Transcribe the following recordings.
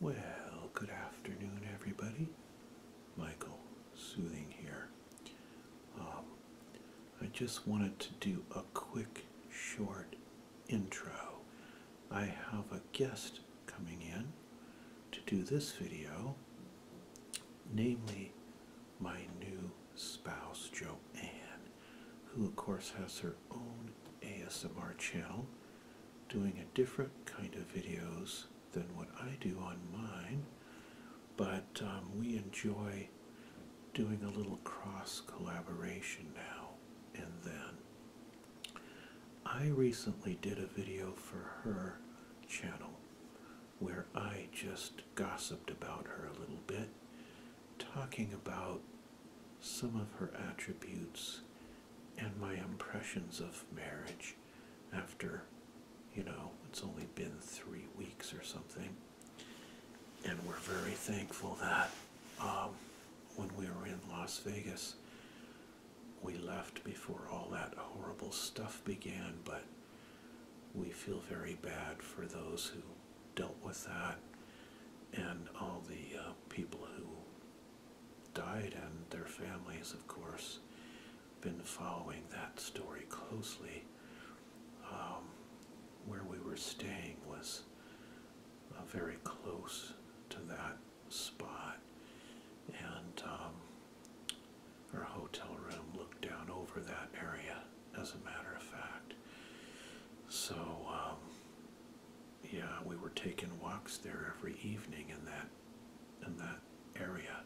Well, good afternoon, everybody. Michael Soothing here. Um, I just wanted to do a quick, short intro. I have a guest coming in to do this video, namely my new spouse, Joanne, who, of course, has her own ASMR channel doing a different kind of videos than what I do on mine, but um, we enjoy doing a little cross collaboration now and then. I recently did a video for her channel where I just gossiped about her a little bit, talking about some of her attributes and my impressions of marriage after, you know, it's only been three weeks or something. And we're very thankful that um, when we were in Las Vegas, we left before all that horrible stuff began, but we feel very bad for those who dealt with that and all the uh, people who died and their families, of course, been following that story closely. Um, where we were staying was uh, very close to that spot, and um, our hotel room looked down over that area, as a matter of fact. So um, yeah, we were taking walks there every evening in that in that area,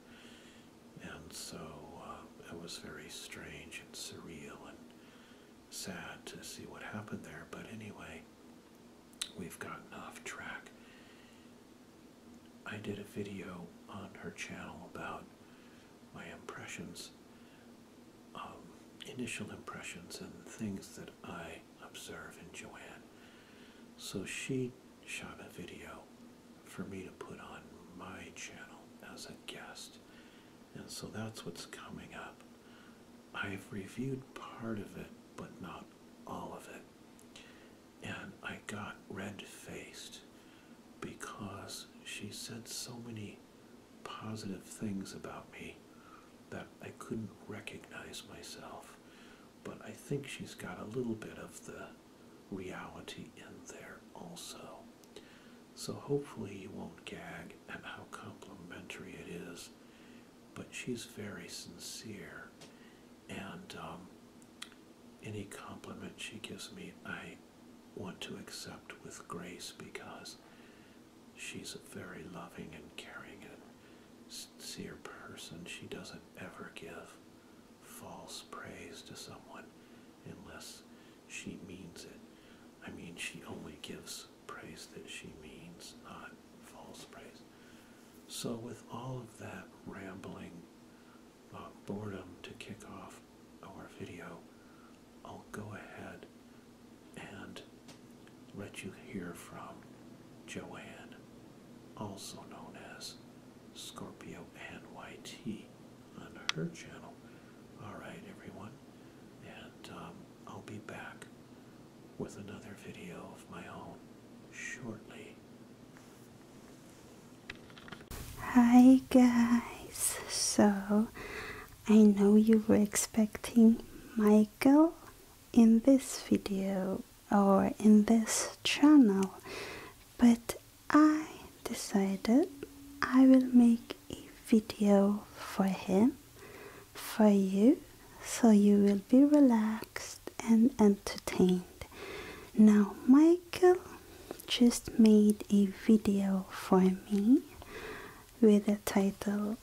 and so uh, it was very strange and surreal and sad to see what happened there. But anyway, we've gotten off track. I did a video on her channel about my impressions, um, initial impressions, and things that I observe, and Joanne. So she shot a video for me to put on my channel as a guest. And so that's what's coming up. I've reviewed part of it, but not all of it. And I got red faced because she said so many positive things about me that I couldn't recognize myself. But I think she's got a little bit of the reality in there also. So hopefully you won't gag at how complimentary it is. But she's very sincere. And um, any compliment she gives me, I want to accept with grace because she's a very loving and caring and sincere person. She doesn't ever give false praise to someone unless she means it. I mean, she only gives praise that she means, not false praise. So, with all of that rambling uh, boredom to kick off our video, I'll go ahead and let you hear from Joanne, also known as Scorpio NYT, on her channel. Alright, everyone, and um, I'll be back with another video of my own shortly. Hi, guys. So, I know you were expecting Michael in this video or in this channel, but I decided I will make a video for him, for you, so you will be relaxed and entertained. Now, Michael just made a video for me with the title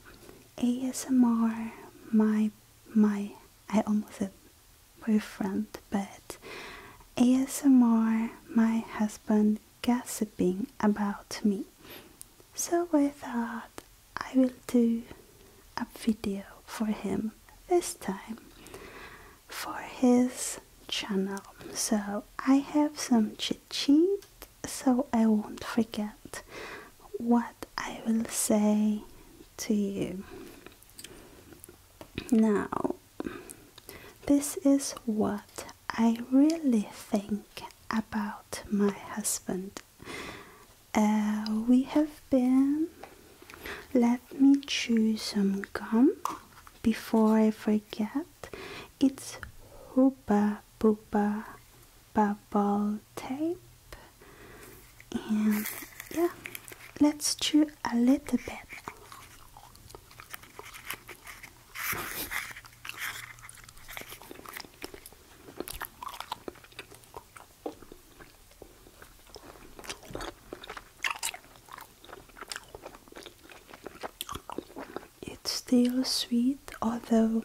ASMR, my my I almost said boyfriend, but ASMR, my husband gossiping about me. So I thought I will do a video for him this time for his channel. So I have some cheat sheet so I won't forget what I will say to you. Now, this is what I really think about my husband. Uh, we have been. Let me chew some gum before I forget. It's Hooba Booba Bubble tape and yeah let's chew a little bit it's still sweet although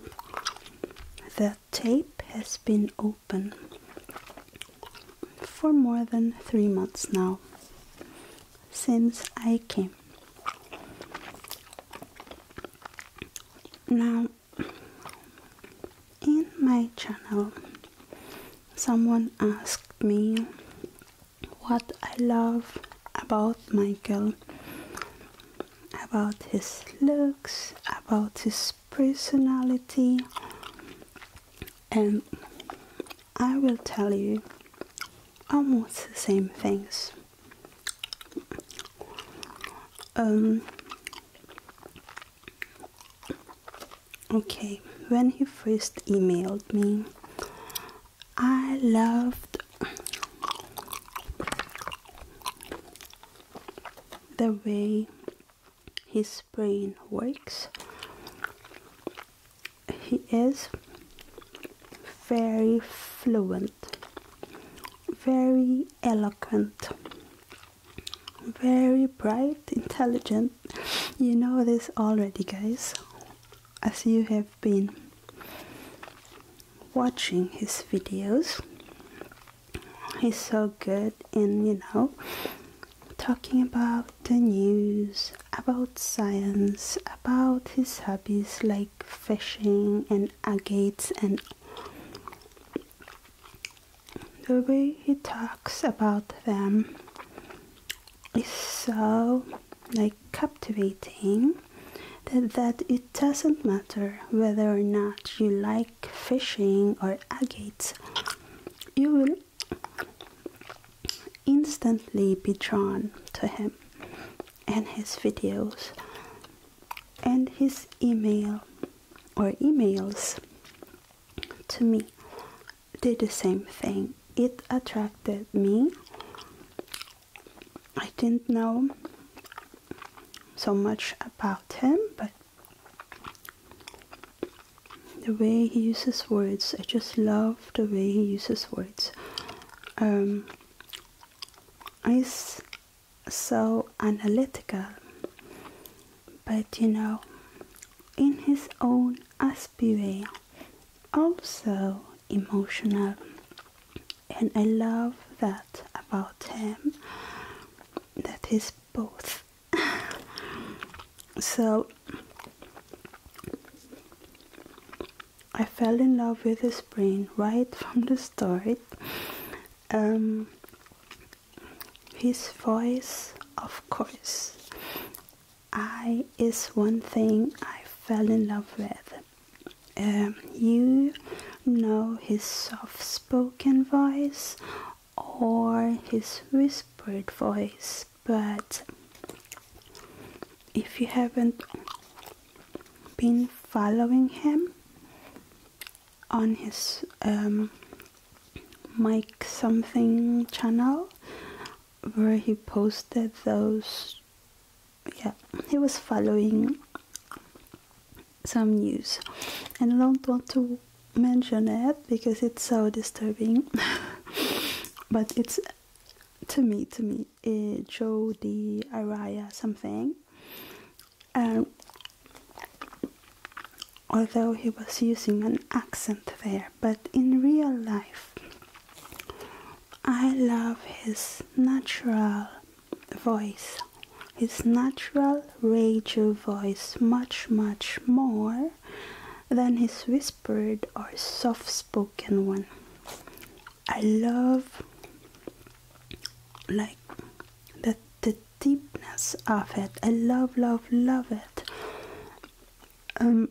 the tape has been open for more than three months now since I came. Now, in my channel, someone asked me what I love about Michael about his looks, about his personality, and I will tell you almost the same things. Um, okay, when he first emailed me, I loved the way his brain works. He is very fluent, very eloquent, very bright, intelligent. You know this already, guys, as you have been watching his videos. He's so good in, you know, talking about the news, about science, about his hobbies like fishing and agates and the way he talks about them is so like captivating that, that it doesn't matter whether or not you like fishing or agates, you will instantly be drawn to him and his videos and his email or emails to me did the same thing. It attracted me I didn't know so much about him, but the way he uses words, I just love the way he uses words. Um, he's so analytical, but you know, in his own aspy way, also emotional and I love that about him that he's both so I fell in love with his brain right from the start um, his voice of course I is one thing I fell in love with um, you know his soft spoken voice or his whispered voice, but if you haven't been following him on his um, Mike something channel where he posted those yeah, he was following some news, and I don't want to mention it because it's so disturbing. but it's to me, to me, uh, Joe the Araya something. Um, although he was using an accent there, but in real life, I love his natural voice his natural radio voice much much more than his whispered or soft spoken one i love like that, the deepness of it i love love love it um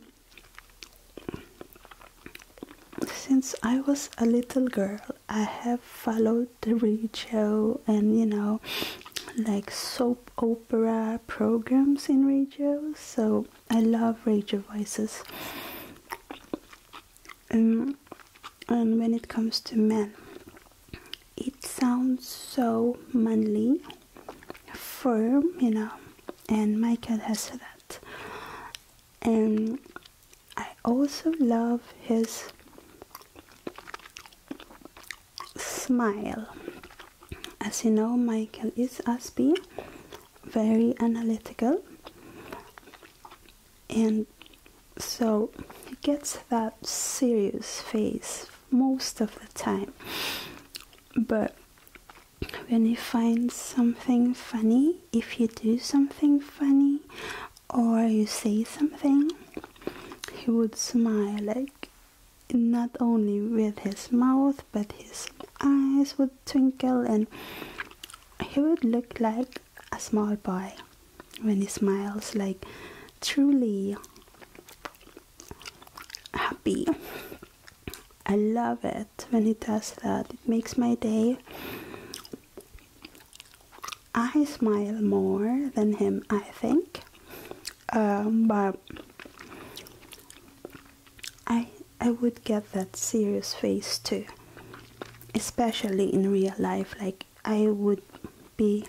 since I was a little girl, I have followed the radio and you know, like soap opera programs in radio. So I love radio voices. Um, and when it comes to men, it sounds so manly, firm, you know, and my cat has that. And I also love his smile. As you know, Michael is Aspie, very analytical, and so he gets that serious face most of the time. But when he finds something funny, if you do something funny or you say something he would smile like not only with his mouth but his eyes would twinkle and he would look like a small boy when he smiles like truly happy I love it when he does that. It makes my day. I smile more than him, I think. Um, but I I would get that serious face too, especially in real life. Like I would be,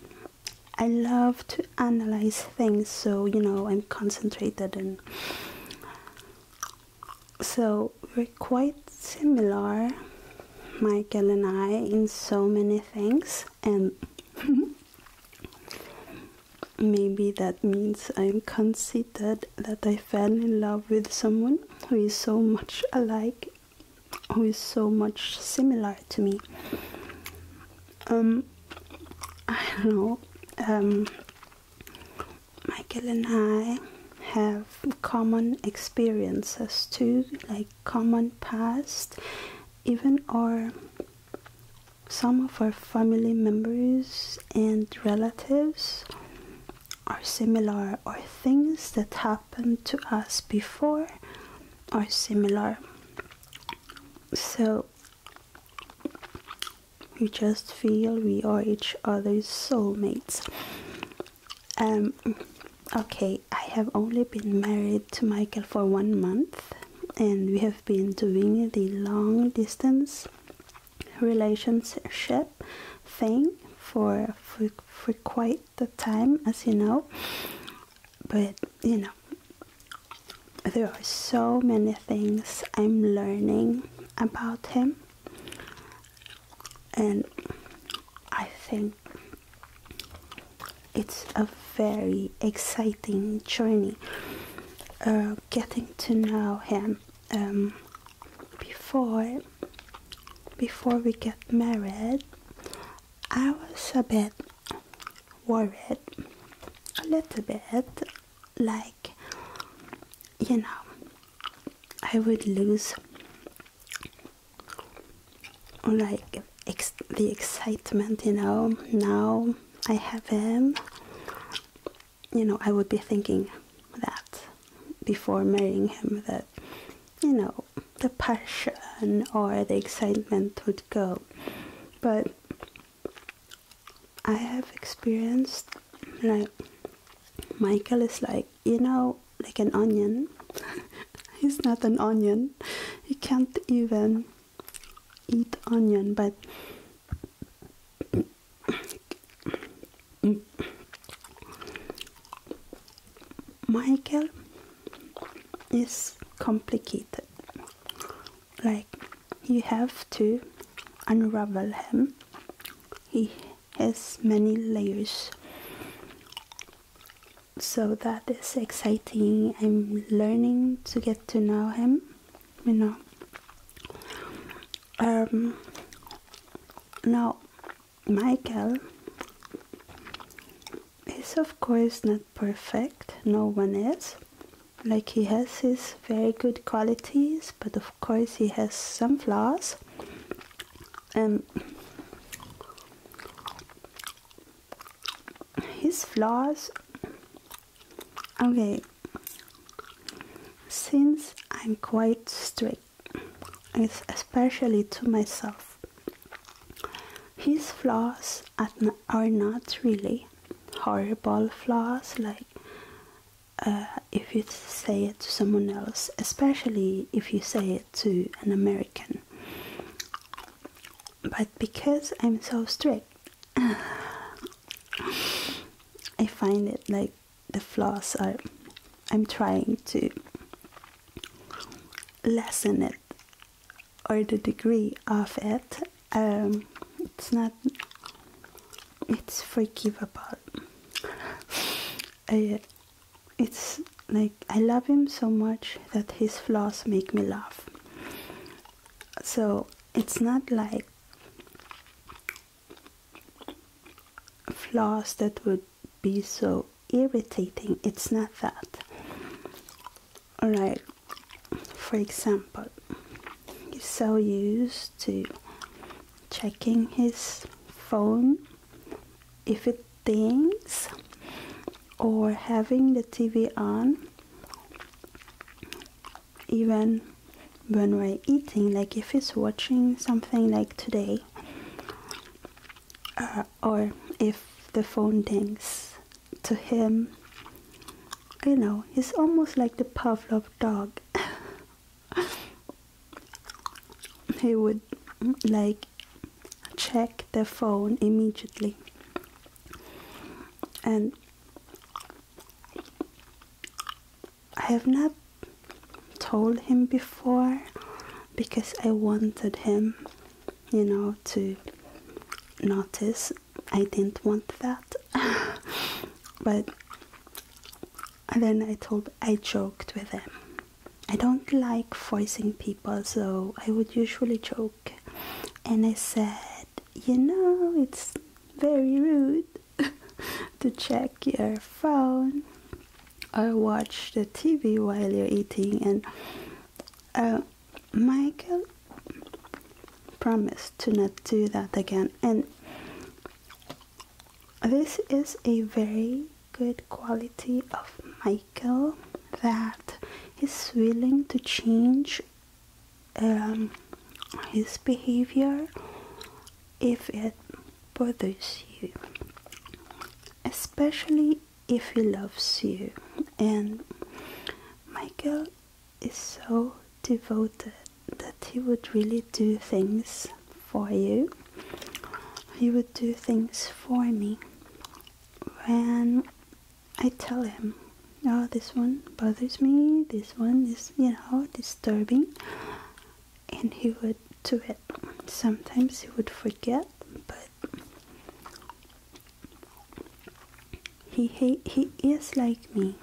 I love to analyze things, so you know I'm concentrated and so we're quite similar, Michael and I, in so many things, and maybe that means I'm conceited that I fell in love with someone who is so much alike, who is so much similar to me. Um, I don't know. Um, Michael and I have common experiences too, like common past, even our some of our family members and relatives are similar or things that happened to us before are similar so we just feel we are each other's soulmates um, okay, I have only been married to Michael for one month, and we have been doing the long distance relationship thing for, for, for quite the time, as you know. But you know, there are so many things I'm learning about him and I think it's a very exciting journey uh, getting to know him um, before before we get married I was a bit worried a little bit like you know I would lose like the excitement, you know. Now I have him, you know, I would be thinking that before marrying him that you know the passion or the excitement would go, but I have experienced like Michael is like you know like an onion he's not an onion he can't even eat onion but Michael is complicated. Like you have to unravel him. He has many layers so that is exciting i'm learning to get to know him you know um, now michael is of course not perfect no one is like he has his very good qualities but of course he has some flaws and um, his flaws okay since I'm quite strict especially to myself his flaws are not really horrible flaws like uh, if you say it to someone else, especially if you say it to an American. But because I'm so strict, I find it like the flaws are. I'm trying to lessen it or the degree of it. Um, it's not it's forgivable. Eh, it's like I love him so much that his flaws make me laugh. So it's not like flaws that would be so irritating. It's not that. Alright, for example, so used to checking his phone if it dings or having the TV on even when we're eating like if he's watching something like today uh, or if the phone dings to him you know he's almost like the Pavlov dog he would like check the phone immediately and I have not told him before because I wanted him you know to notice I didn't want that but and then I told I joked with them. I don't like voicing people, so I would usually joke. And I said, You know, it's very rude to check your phone or watch the TV while you're eating. And uh, Michael promised to not do that again. And this is a very good quality of Michael that he's willing to change um, his behavior if it bothers you, especially if he loves you. And Michael is so devoted, that he would really do things for you. He would do things for me. When I tell him, oh, this one bothers me, this one is, you know, disturbing, and he would do it. Sometimes he would forget, but he, he, he is like me.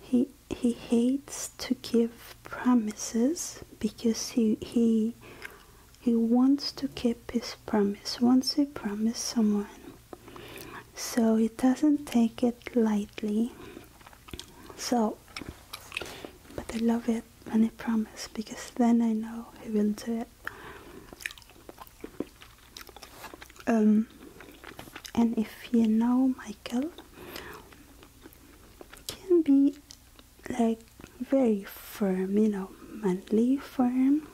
He he hates to give promises because he he he wants to keep his promise once he promised someone so he doesn't take it lightly so but i love it when he promises because then i know he will do it um and if you know michael can be like very firm, you know, manly firm.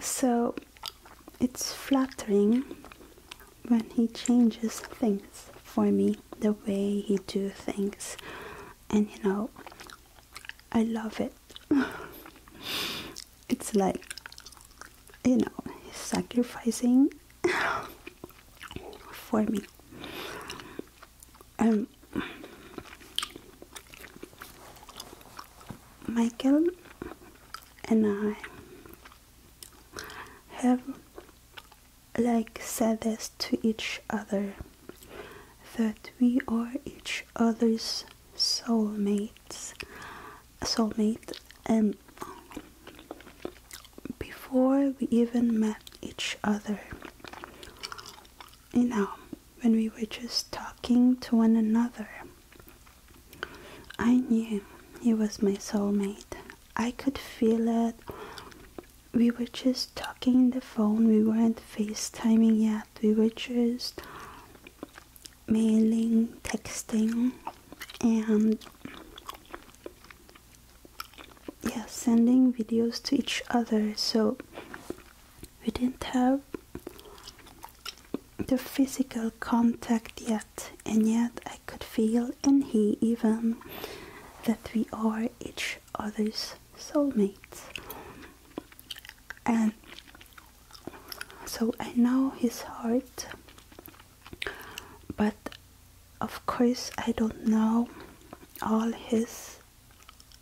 So it's flattering when he changes things for me, the way he do things. And you know, I love it. it's like you know, sacrificing for me. Um, Michael and I have like said this to each other that we are each other's soulmates soulmate and before we even met each other you know when we were just talking to one another i knew he was my soulmate i could feel it we were just talking on the phone we weren't facetiming yet we were just mailing texting and yeah sending videos to each other so we didn't have the physical contact yet and yet I could feel and he even that we are each other's soulmates and so I know his heart but of course I don't know all his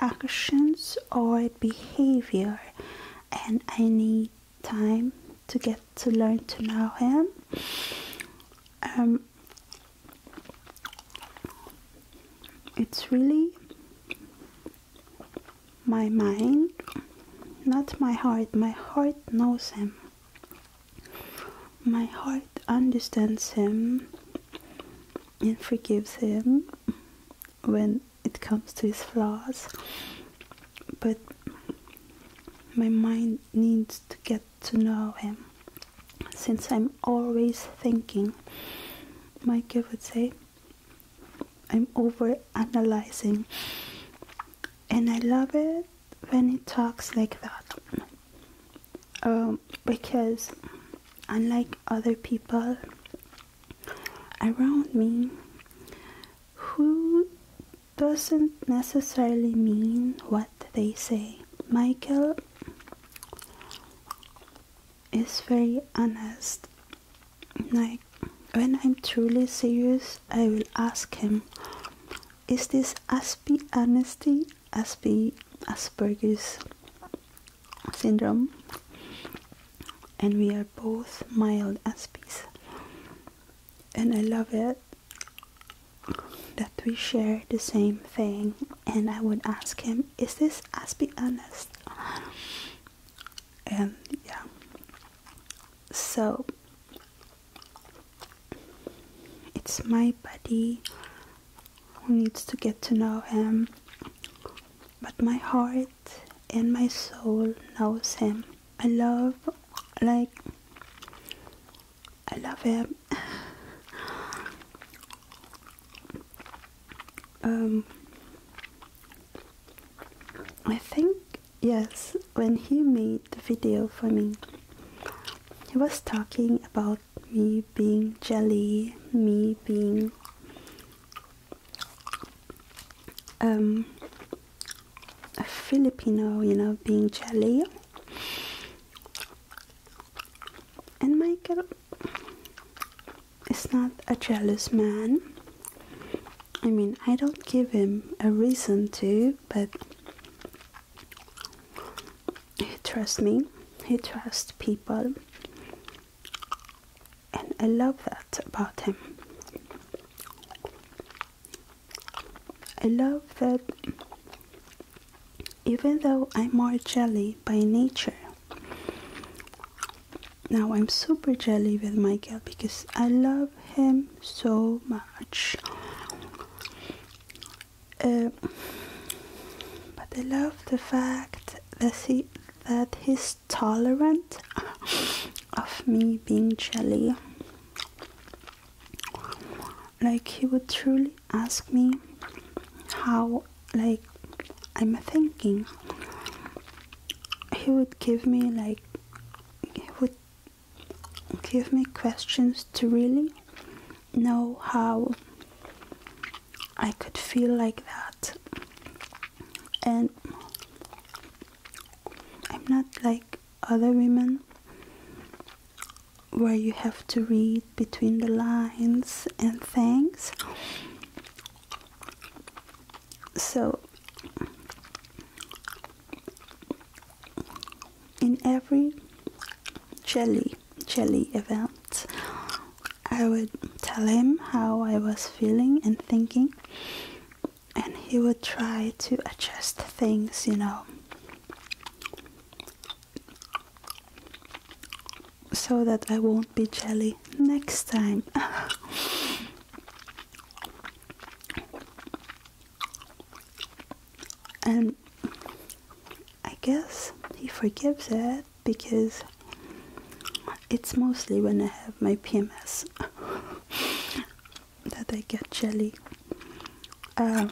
actions or behavior and I need time to get to learn to know him um, it's really my mind not my heart my heart knows him my heart understands him and forgives him when it comes to his flaws, but my mind needs to get to know him since I'm always thinking. Michael would say, I'm over analyzing and I love it when he talks like that um, because unlike other people around me who doesn't necessarily mean what they say. Michael is very honest. Like when I'm truly serious, I will ask him, is this Aspie honesty, Aspie Asperger's syndrome? And we are both mild Aspies. And I love it that we share the same thing. And I would ask him, is this Aspie honest? And yeah, so it's my body who needs to get to know him but my heart and my soul knows him i love like i love him um i think yes, when he made the video for me, he was talking about me being jelly, me being um, a Filipino, you know, being jelly. And Michael is not a jealous man. I mean, I don't give him a reason to, but trust me, he trusts people, and I love that about him. I love that even though I'm more jelly by nature, now I'm super jelly with Michael because I love him so much. Um, but I love the fact that he, that he's tolerant of me being jelly. Like he would truly ask me how like I'm thinking. He would give me like he would give me questions to really know how I could feel like that. And I'm not like other women where you have to read between the lines and things. So in every jelly jelly event I would tell him how I was feeling and thinking and he would try to adjust things you know so that I won't be jelly next time And I guess he forgives it because it's mostly when I have my PMS that I get jelly. Um,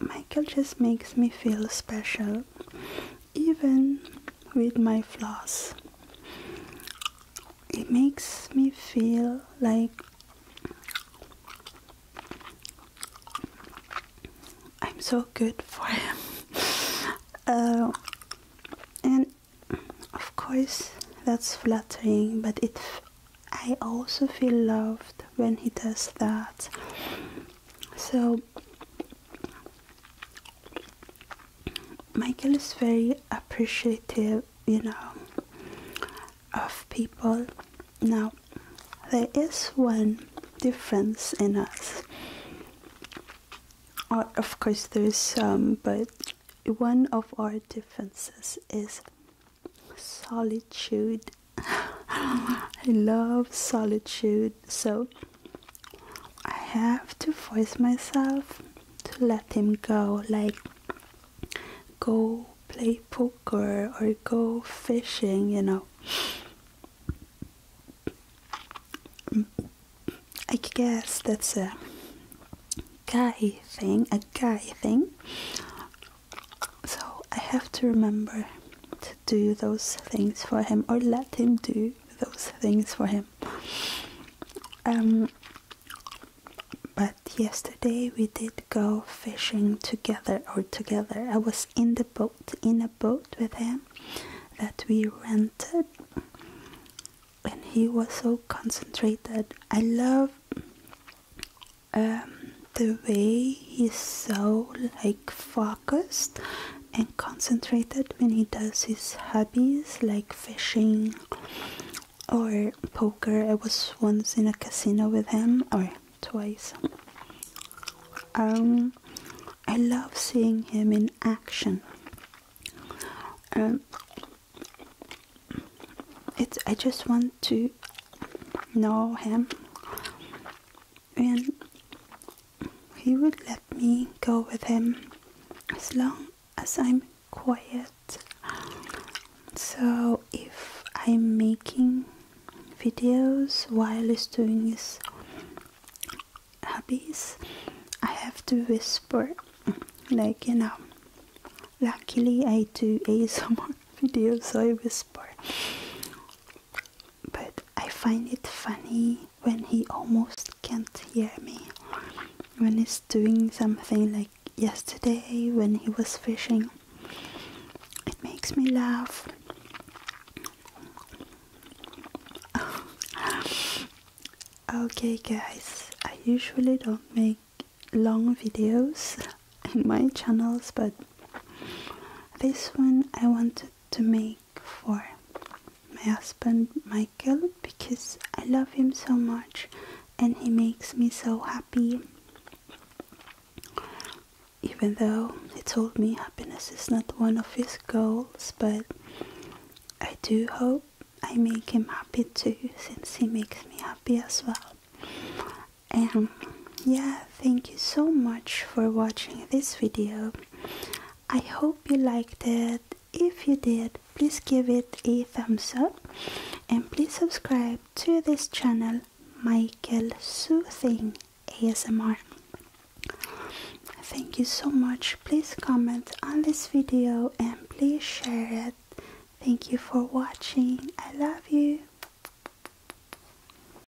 Michael just makes me feel special even with my flaws. It makes me feel like I'm so good for him. Uh, and of course, that's flattering, but it I also feel loved when he does that. So Michael is very appreciative, you know, of people. Now, there is one difference in us. Or, uh, of course, there's some, but one of our differences is solitude. I love solitude. So, I have to force myself to let him go, like go play poker or go fishing, you know. I guess that's a guy thing, a guy thing. So I have to remember to do those things for him or let him do those things for him. Um, but yesterday we did go fishing together or together. I was in the boat, in a boat with him that we rented and he was so concentrated. I love um, the way he's so like focused and concentrated when he does his hobbies like fishing or poker. I was once in a casino with him, or twice. Um, I love seeing him in action. Um, it's I just want to know him and he would let me go with him as long as I'm quiet. So if I'm making videos while he's doing his hobbies, I have to whisper, like you know. Luckily, I do ASMR videos, so I whisper. But I find it funny when he almost can't hear me. When he's doing something like yesterday when he was fishing, it makes me laugh. okay, guys, I usually don't make long videos in my channels, but this one I wanted to make for my husband Michael because I love him so much and he makes me so happy. Even though he told me happiness is not one of his goals, but I do hope I make him happy too since he makes me happy as well. And yeah, thank you so much for watching this video. I hope you liked it. If you did, please give it a thumbs up and please subscribe to this channel, Michael Soothing ASMR. Thank you so much. Please comment on this video and please share it. Thank you for watching. I love you.